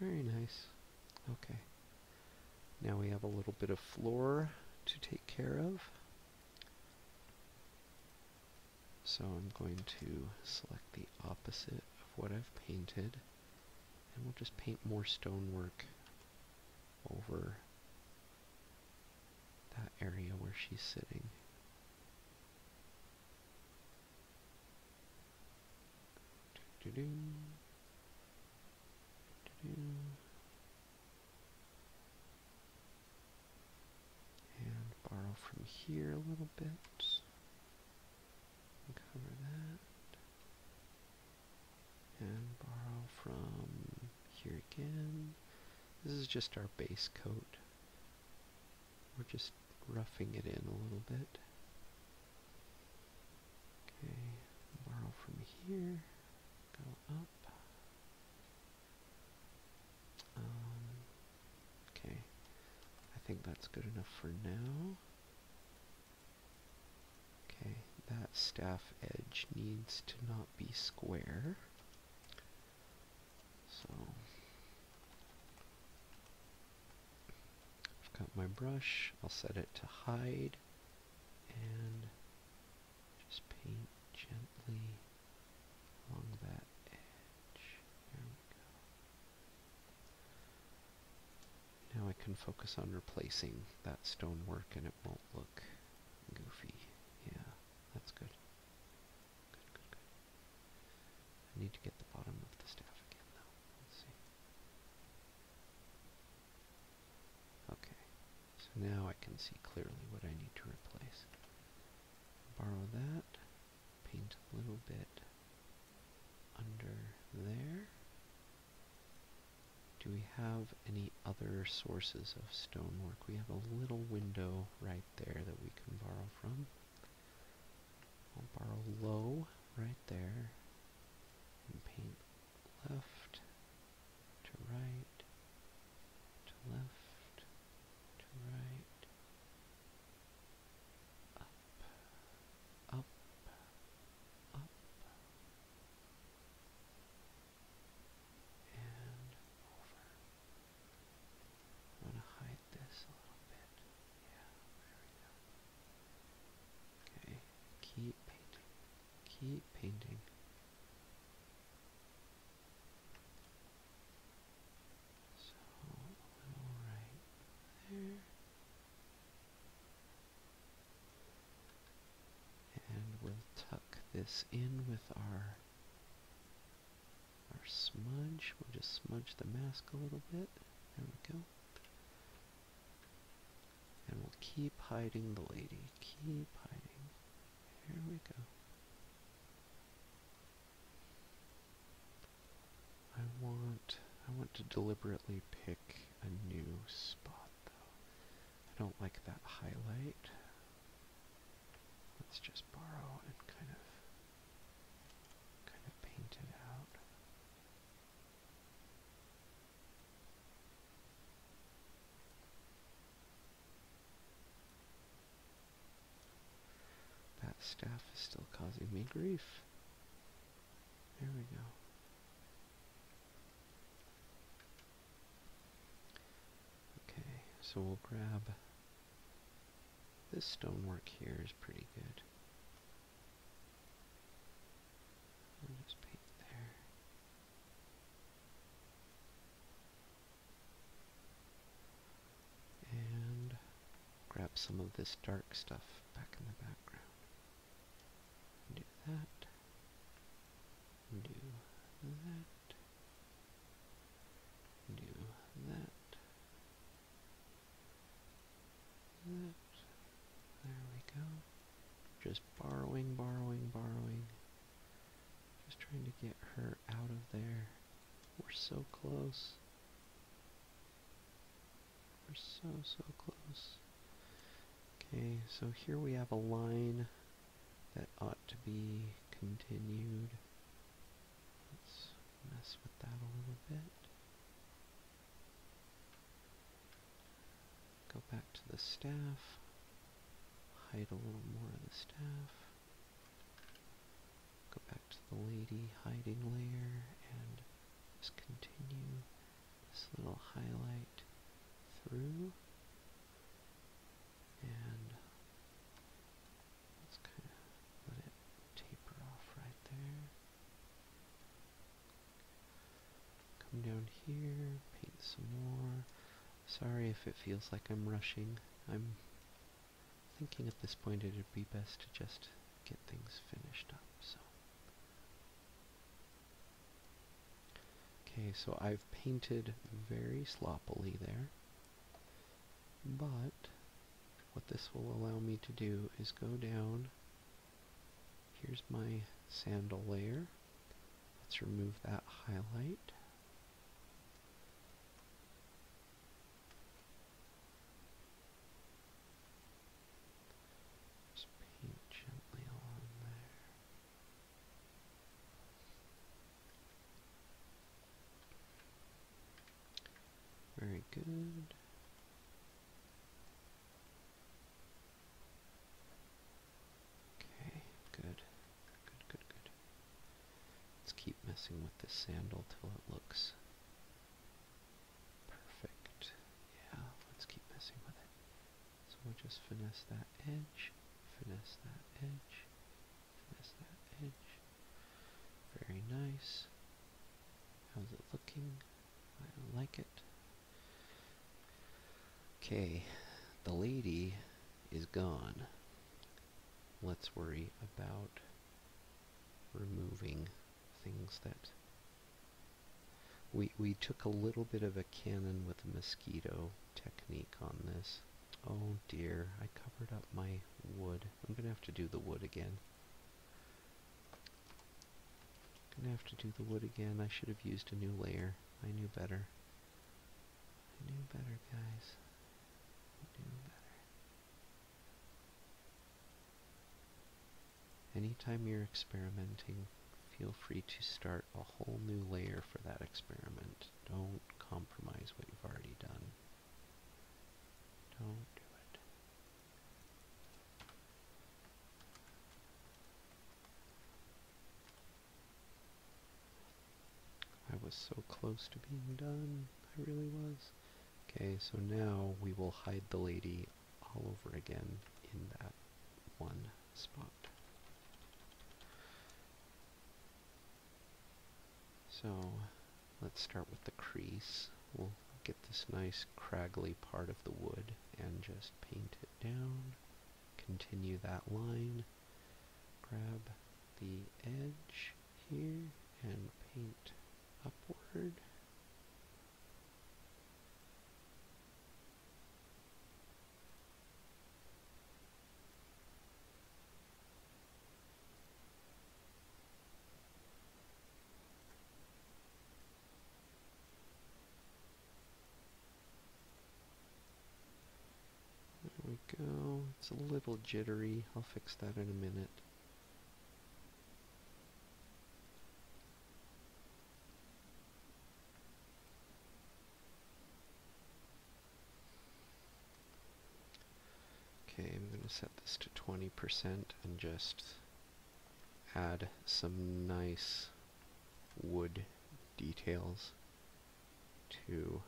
Very nice. Okay. Now we have a little bit of floor to take care of. So I'm going to select the opposite of what I've painted. And we'll just paint more stonework over that area where she's sitting. And borrow from here a little bit. cover that. And borrow from here again. This is just our base coat. We're just roughing it in a little bit. Okay, borrow from here, go up. Um, okay, I think that's good enough for now. Okay, that staff edge needs to not be square. So, I've got my brush, I'll set it to hide and just paint gently along that edge. There we go. Now I can focus on replacing that stonework and it won't look goofy. Yeah, that's good. Good, good, good. I need to get the bottom of the staff again though. Let's see. Okay, so now I can see clearly what I need to replace. Borrow that, paint a little bit under there. Do we have any other sources of stonework? We have a little window right there that we can borrow from. I'll borrow low right there and paint left to right to left to right up up up and over I'm going to hide this a little bit yeah there we go okay keep painting Keep painting. So right there. And we'll tuck this in with our our smudge. We'll just smudge the mask a little bit. There we go. And we'll keep hiding the lady. Keep hiding. Here we go. I want I want to deliberately pick a new spot though. I don't like that highlight. Let's just borrow and kind of kind of paint it out. That staff is still causing me grief. There we go. Okay, so we'll grab this stonework here is pretty good just paint there. And grab some of this dark stuff back in the background. Do that. Do that. Do That. There we go. Just borrowing, borrowing, borrowing. Just trying to get her out of there. We're so close. We're so, so close. Okay, so here we have a line that ought to be continued. Let's mess with that a little bit. Go back to the staff. Hide a little more of the staff. Go back to the lady hiding layer and just continue this little highlight through. And let's kind of let it taper off right there. Come down here, paint some more. Sorry if it feels like I'm rushing. I'm thinking at this point it'd be best to just get things finished up, so. Okay, so I've painted very sloppily there, but what this will allow me to do is go down Here's my sandal layer. Let's remove that highlight. Just paint gently along there. Very good. Okay, good. Good, good, good. Let's keep messing with this sandal till it looks perfect. Yeah, let's keep messing with it. So we'll just finesse that edge, finesse that edge, finesse that edge. Very nice. How's it looking? I like it. Okay, the lady is gone. Let's worry about removing things that... We, we took a little bit of a cannon with a mosquito technique on this. Oh dear, I covered up my wood. I'm going to have to do the wood again. Gonna have to do the wood again. I should have used a new layer. I knew better. I knew better, guys. Anytime you're experimenting, feel free to start a whole new layer for that experiment. Don't compromise what you've already done. Don't do it. I was so close to being done. I really was. Okay, so now we will hide the lady all over again in that one spot. So let's start with the crease. We'll get this nice craggly part of the wood and just paint it down continue that line, grab the edge here and paint upward. There we go. It's a little jittery. I'll fix that in a minute. Okay, I'm going to set this to 20% and just add some nice wood details to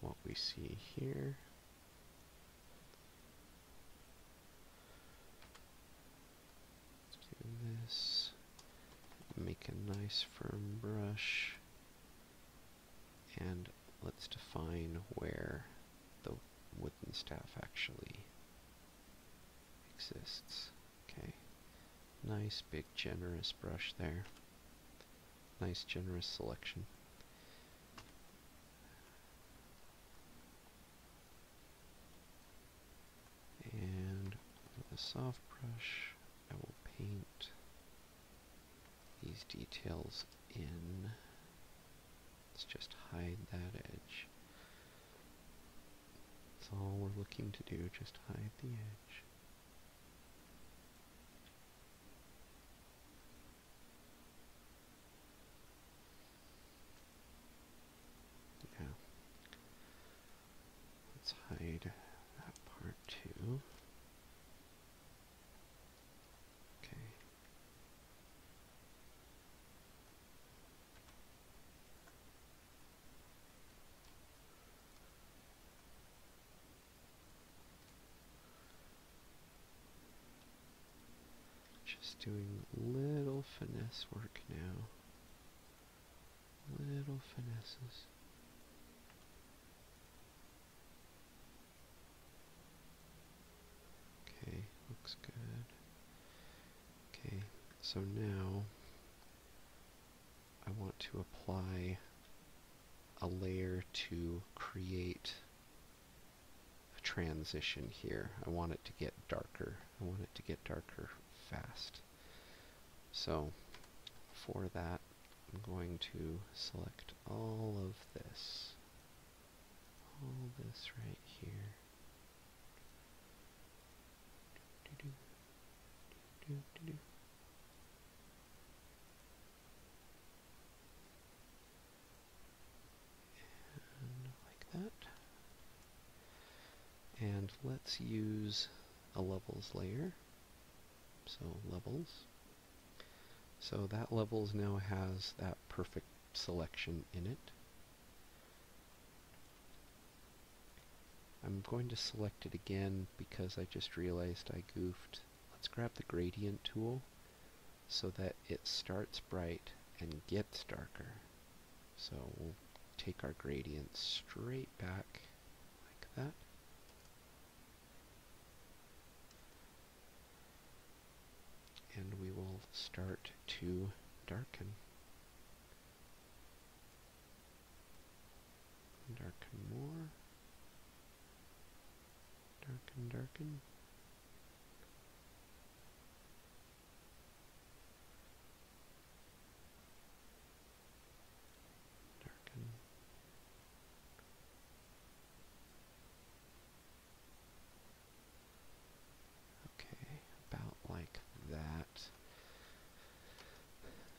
what we see here. do this. Make a nice firm brush. And let's define where the wooden staff actually exists. Okay. Nice, big, generous brush there. Nice, generous selection. And with a soft brush, I will paint these details in. Let's just hide that edge. That's all we're looking to do, just hide the edge. Yeah. Let's hide that part too. Okay. Just doing little finesse work now. Little finesses. Okay, looks good. Okay, so now I want to apply a layer to create a transition here. I want it to get darker. I want it to get darker fast. So for that, I'm going to select all of this. All this right here like that. And let's use a levels layer. So levels. So that levels now has that perfect selection in it. I'm going to select it again because I just realized I goofed. Let's grab the gradient tool so that it starts bright and gets darker. So we'll take our gradient straight back like that. And we will start to darken. Darken more. Darken, darken. Darken. Okay, about like that.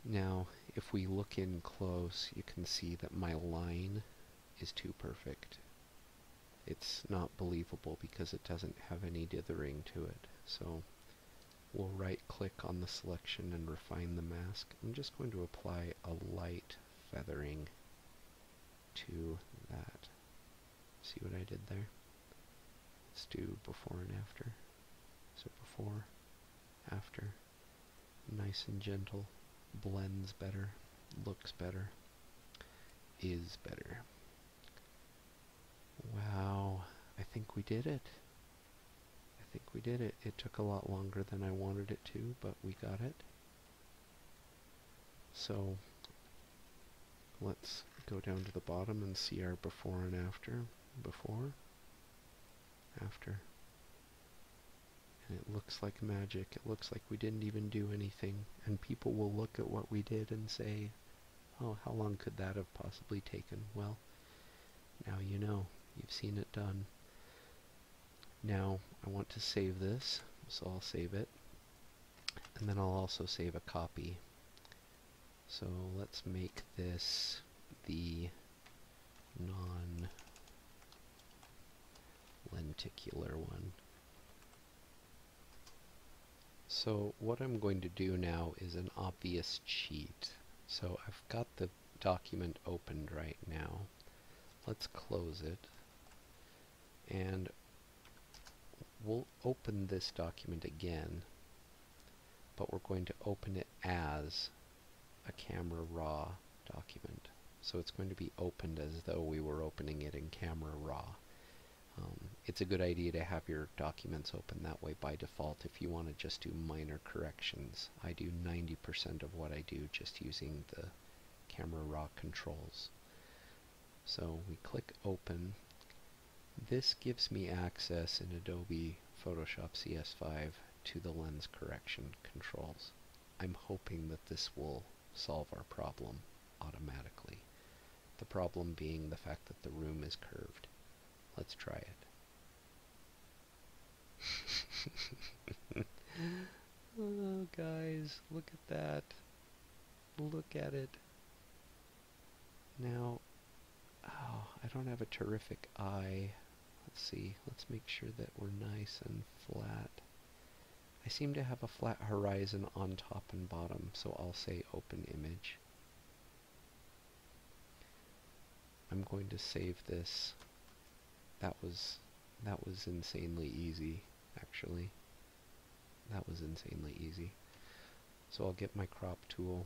Now, if we look in close, you can see that my line is too perfect. It's not believable because it doesn't have any dithering to it. So we'll right click on the selection and refine the mask. I'm just going to apply a light feathering to that. See what I did there? Let's do before and after. So before, after, nice and gentle, blends better, looks better, is better. Wow, I think we did it. I think we did it. It took a lot longer than I wanted it to, but we got it. So let's go down to the bottom and see our before and after before, after. And it looks like magic. It looks like we didn't even do anything. And people will look at what we did and say, oh, how long could that have possibly taken? Well, now you know. You've seen it done. Now I want to save this, so I'll save it. And then I'll also save a copy so let's make this the non-lenticular one. So what I'm going to do now is an obvious cheat. So I've got the document opened right now. Let's close it. And we'll open this document again but we're going to open it as a camera raw document. So it's going to be opened as though we were opening it in camera raw. Um, it's a good idea to have your documents open that way by default if you want to just do minor corrections. I do 90% of what I do just using the camera raw controls. So we click open this gives me access in Adobe Photoshop CS5 to the lens correction controls. I'm hoping that this will solve our problem automatically. The problem being the fact that the room is curved. Let's try it. (laughs) Oh, guys, look at that. Look at it. Now, oh, I don't have a terrific eye. Let's see, let's make sure that we're nice and flat. I seem to have a flat horizon on top and bottom, so I'll say open image. I'm going to save this. That was that was insanely easy, actually. That was insanely easy. So I'll get my crop tool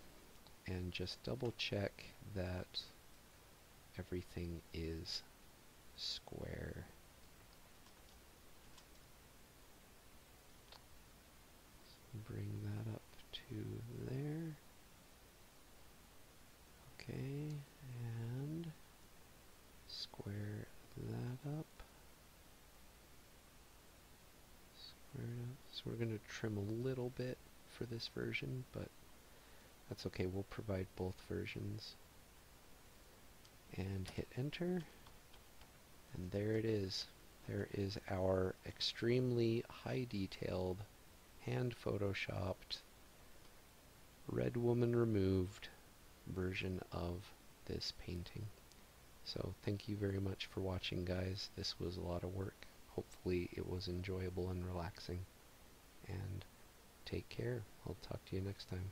and just double check that everything is square. bring that up to there. Okay, and square that up. So we're going to trim a little bit for this version, but that's okay. We'll provide both versions. And hit enter. And there it is. There is our extremely high detailed, hand photoshopped, red woman removed version of this painting. So thank you very much for watching guys. This was a lot of work. Hopefully, it was enjoyable and relaxing. And take care. I'll talk to you next time.